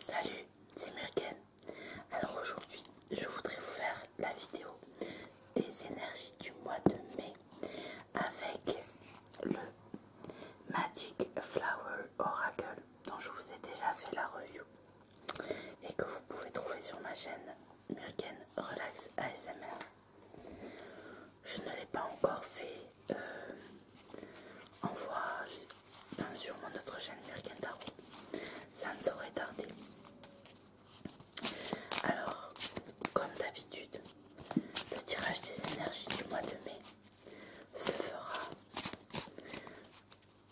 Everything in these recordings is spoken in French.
Salut, c'est Myrken. Alors aujourd'hui, je voudrais vous faire la vidéo des énergies du mois de mai avec le Magic Flower Oracle dont je vous ai déjà fait la review et que vous pouvez trouver sur ma chaîne Myrken Relax ASMR. Je ne l'ai pas encore fait Envoie euh, on voit bien sûr notre chaîne Ça ne saurait tarder. Alors, comme d'habitude, le tirage des énergies du mois de mai se fera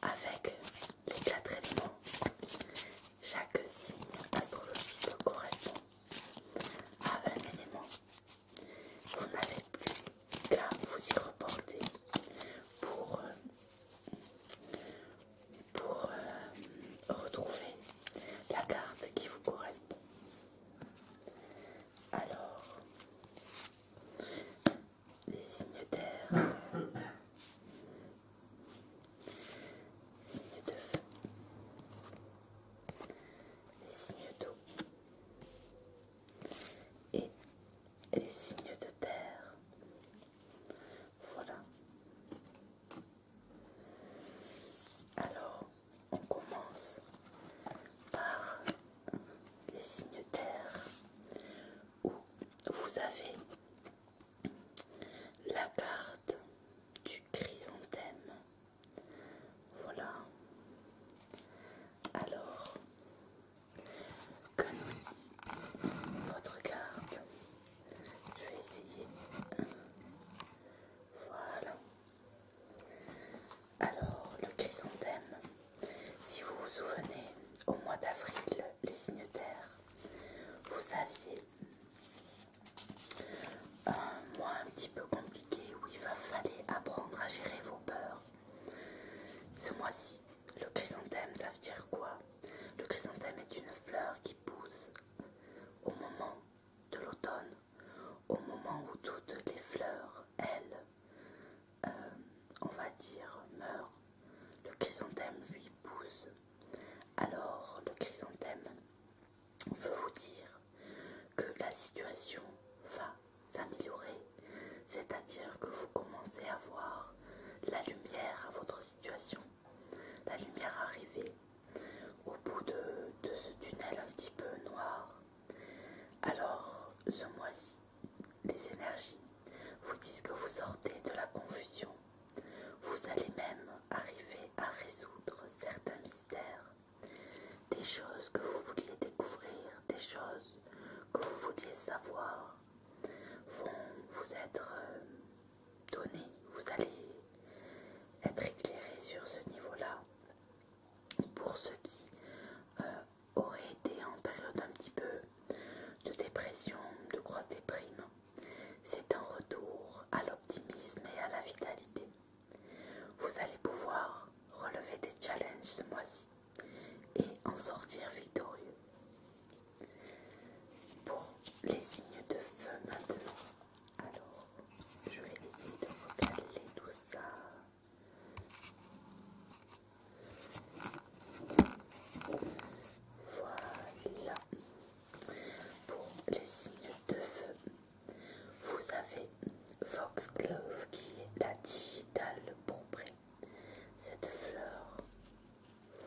avec les quatre éléments. Chaque signe astrologique correspond à un élément vous n'avez plus qu'à vous y reporter pour, euh, euh, retrouver la carte qui vous correspond. Alors, les signes d'air, signes de feu, les signes d'eau, et les signes de terre. Voilà. Alors, on commence par les signes de terre où vous avez la carte du chrysanthème. Voilà. Alors, que nous dit votre garde Je vais essayer. Voilà. Alors, le chrysanthème. Si vous vous souvenez, au mois d'avril, les signataires, vous aviez un mois un petit peu compliqué où il va falloir apprendre à gérer vos peurs ce mois-ci, le chrysanthème, ça veut dire quoi Le chrysanthème est une fleur qui pousse au moment de l'automne, au moment où toutes les fleurs, elles, euh, on va dire, meurent. Le chrysanthème, lui, pousse. Alors, le chrysanthème, veut vous dire que la situation va s'améliorer, c'est-à-dire que vous commencez à voir la lumière à votre situation, la lumière arriver au bout de, de ce tunnel un petit peu noir. Alors, ce mois-ci, les énergies vous disent que vous sortez de la confusion. Vous allez même arriver à résoudre certains mystères des choses que vous vouliez découvrir, des choses que vous vouliez savoir vont vous être euh, données. Vous allez être éclairés sur ce niveau-là. Pour ceux qui euh, auraient été en période un petit peu de dépression, de grosse déprime, c'est un retour à l'optimisme et à la vitalité. Vous allez pouvoir relever des challenges ce mois-ci et en sortir victorieux. Pour les signes de feu maintenant, alors je vais essayer de recaler tout ça. Voilà. Pour les signes de feu, vous avez Foxglove qui est la digitale pourprée. Cette fleur,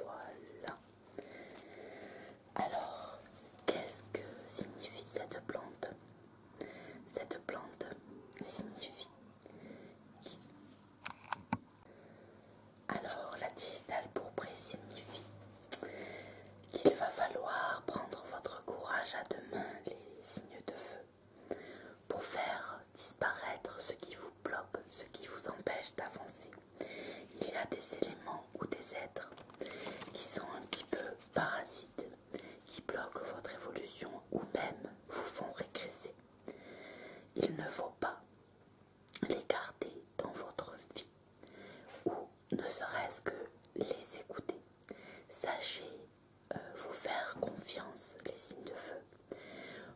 voilà. Alors, qu'est-ce que signifie cette plante Cette plante signifie Alors, la digitale pourprée signifie qu'il va falloir prendre votre courage à deux mains, les signes de feu, pour faire disparaître ce qui vous bloque, ce qui vous empêche d'avancer. Il y a des éléments ou des êtres qui sont un petit peu parasites, qui bloquent votre évolution ou même vous font régresser. Il ne faut pas l'écarter dans votre vie ne serait-ce que les écouter. Sachez euh, vous faire confiance, les signes de feu.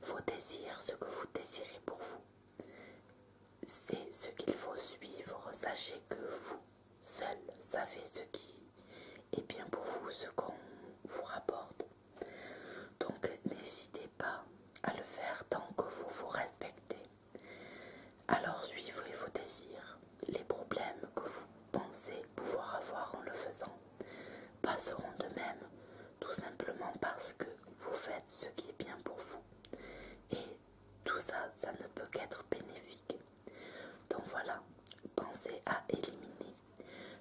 Vos désirs, ce que vous désirez pour vous, c'est ce qu'il faut suivre. Sachez que vous seul savez ce qui est bien pour vous, ce qu'on vous rapporte. Donc n'hésitez pas à le faire tant que vous vous respectez. Alors suivez vos désirs. Les problèmes que vous pensez pouvoir avoir en le faisant passeront de même, tout simplement parce que vous faites ce qui est bien pour vous. Et tout ça, ça ne peut qu'être bénéfique. Donc voilà, pensez à éliminer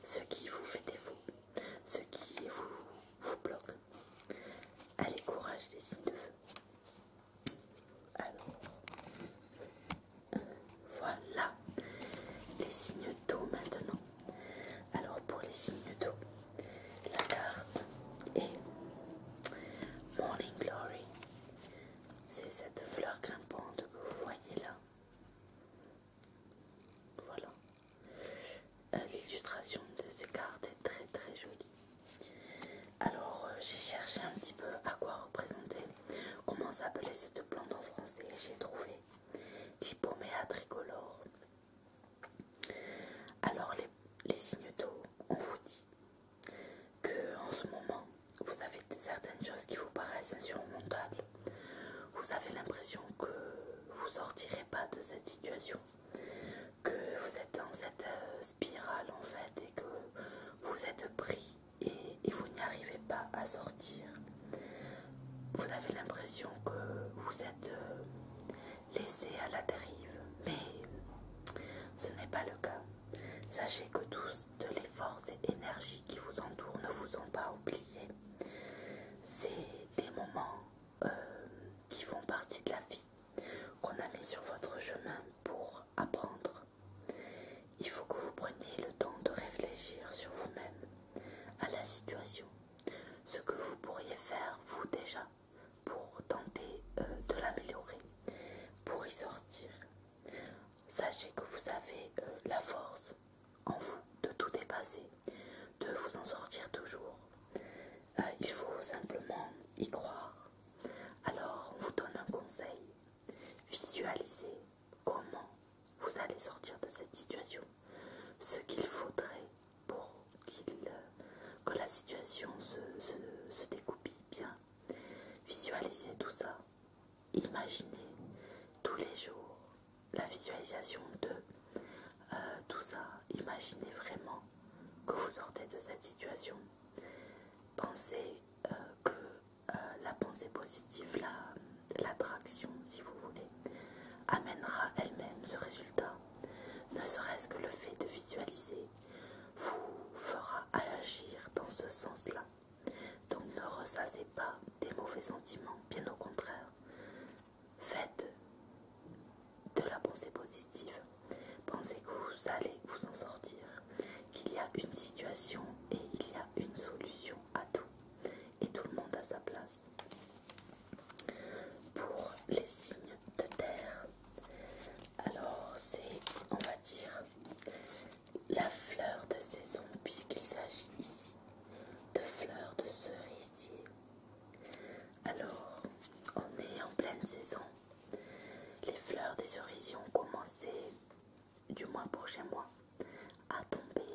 ce qui vous fait défaut, ce qui vous, vous bloque. Allez, courage les signes de feu. Alors, voilà les signes d'eau maintenant. Alors, pour les signes d'eau, la carte est Morning Glory. C'est cette fleur grimpante que vous voyez là. Voilà. Euh, l'illustration de ces cartes est très très jolie. Alors euh, j'ai cherché un petit peu à quoi représenter, comment s'appelait cette plante en français et j'ai trouvé à tricolore. Alors les, signes d'eau, on vous dit que en ce moment vous avez certaines choses qui vous paraissent insurmontables. Vous avez l'impression que vous sortirez pas de cette situation, que vous dans cette euh, spirale en fait et que vous êtes pris et, vous n'y arrivez pas à sortir. Vous avez l'impression que vous êtes euh, laissé à la dérive, mais ce n'est pas le cas. Sachez que tous de les forces et énergies qui vous entourent ne vous ont pas oublié. C'est des moments euh, qui font partie de la vie qu'on a mis sur votre chemin pour apprendre. Il faut que vous preniez le temps de réfléchir sur vous-même, à la situation, ce que vous pourriez faire vous déjà pour tenter euh, de l'améliorer, pour y sortir. Sachez que vous avez euh, la force en vous de tout dépasser, de vous en sortir toujours. Euh, il faut simplement y croire alors, on vous donne un conseil. Visualisez comment vous allez sortir de cette situation, ce qu'il faudrait pour euh, que la situation se, découpille bien. Visualisez tout ça. Imaginez tous les jours la visualisation de euh, tout ça. Imaginez vraiment que vous sortez de cette situation Pensez euh, que euh, la pensée positive, l'attraction, si vous voulez, amènera elle-même ce résultat. Ne serait-ce que le fait de visualiser vous fera agir dans ce sens-là. Donc ne ressassez pas des mauvais sentiments, bien au contraire. Faites de la pensée positive. Pensez que vous allez vous en sortir, qu'il y a une situation et il y a une solution à tout. Et tout le monde à sa place. Pour les signes de terre, alors c'est, on va dire, la fleur de saison, puisqu'il s'agit ici de fleurs de cerisier. Alors, on est en pleine saison. Les fleurs des cerisiers ont commencé, du moins pour chez moi, à tomber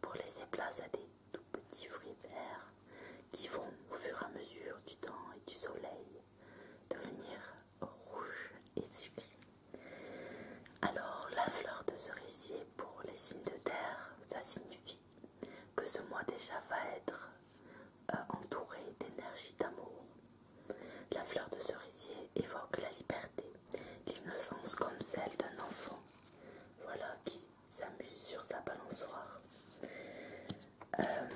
pour laisser place à des tout petits fruits verts qui vont, au fur et à mesure du temps et du soleil, devenir rouges et sucrés. Alors, la fleur de cerisier pour les signes de terre, ça signifie que ce mois déjà va être euh, entourée d'énergie d'amour. La fleur de cerisier évoque la liberté, l'innocence comme celle d'un enfant. Voilà qui s'amuse sur sa balançoire. Euh,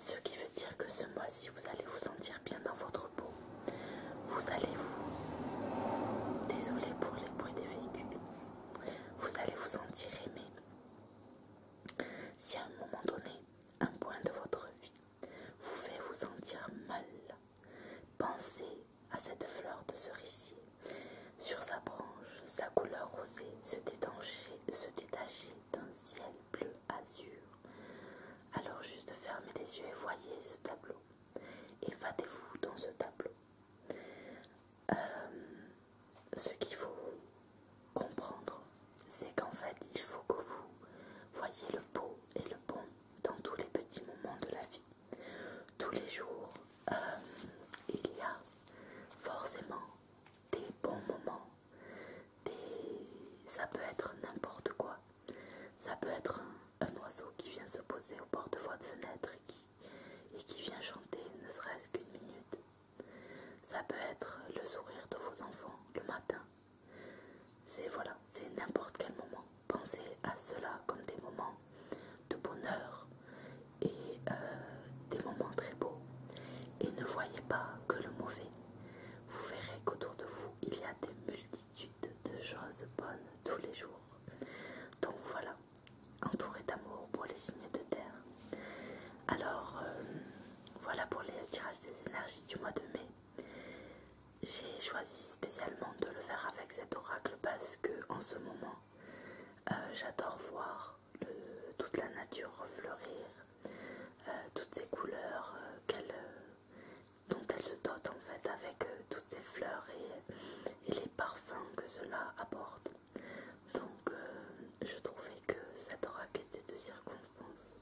ce qui veut dire que ce mois-ci, vous allez vous sentir bien dans votre peau. Vous allez vous... Désolé pour les bruits des véhicules. Vous allez vous sentir aimé. Si à un moment donné, un point de votre vie vous fait vous sentir mal, pensez à cette fleur de cerisier. Sur sa branche, sa couleur rosée se détachait, d'un ciel bleu azur. Alors juste fermez les yeux et voyez ce tableau. évatez vous dans ce tableau. Euh, ce qu'il faut comprendre, c'est qu'en fait, il faut que vous voyez le beau et le bon dans tous les petits moments de la vie. Tous les jours, euh, il y a forcément des bons moments. Ça peut être n'importe quoi. Ça peut être un, oiseau qui vient se poser au bord de votre fenêtre et qui vient chanter ne serait-ce qu'une minute. Ça peut être le sourire de vos enfants le matin. C'est voilà, c'est n'importe quel moment. Pensez à cela comme des moments de bonheur et euh, des moments très beaux. Et ne voyez pas que le mauvais. Vous verrez qu'autour de vous, il y a des multitudes de choses bonnes tous les jours. Donc voilà, entouré d'amour pour les signes de terre. Alors euh, voilà pour les tirages des énergies du mois de mai. J'ai choisi spécialement de le faire avec cet oracle parce que en ce moment euh, j'adore voir toute la nature fleurir, euh, toutes ces couleurs dont elle se dote en fait avec toutes ces fleurs et les parfums que cela apporte. Donc euh, je trouvais que ça rock était de circonstance.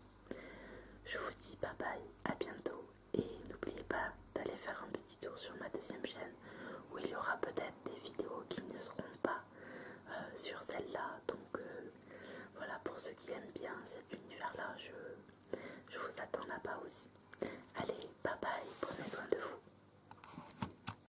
Je vous dis bye bye, à bientôt et n'oubliez pas d'aller faire un petit tour sur ma deuxième chaîne où il y aura peut-être des vidéos qui ne seront pas euh, sur celle-là. Donc euh, voilà, pour ceux qui aiment bien cet univers-là, je, je vous attends là-bas aussi. Allez, bye bye, prenez soin de vous.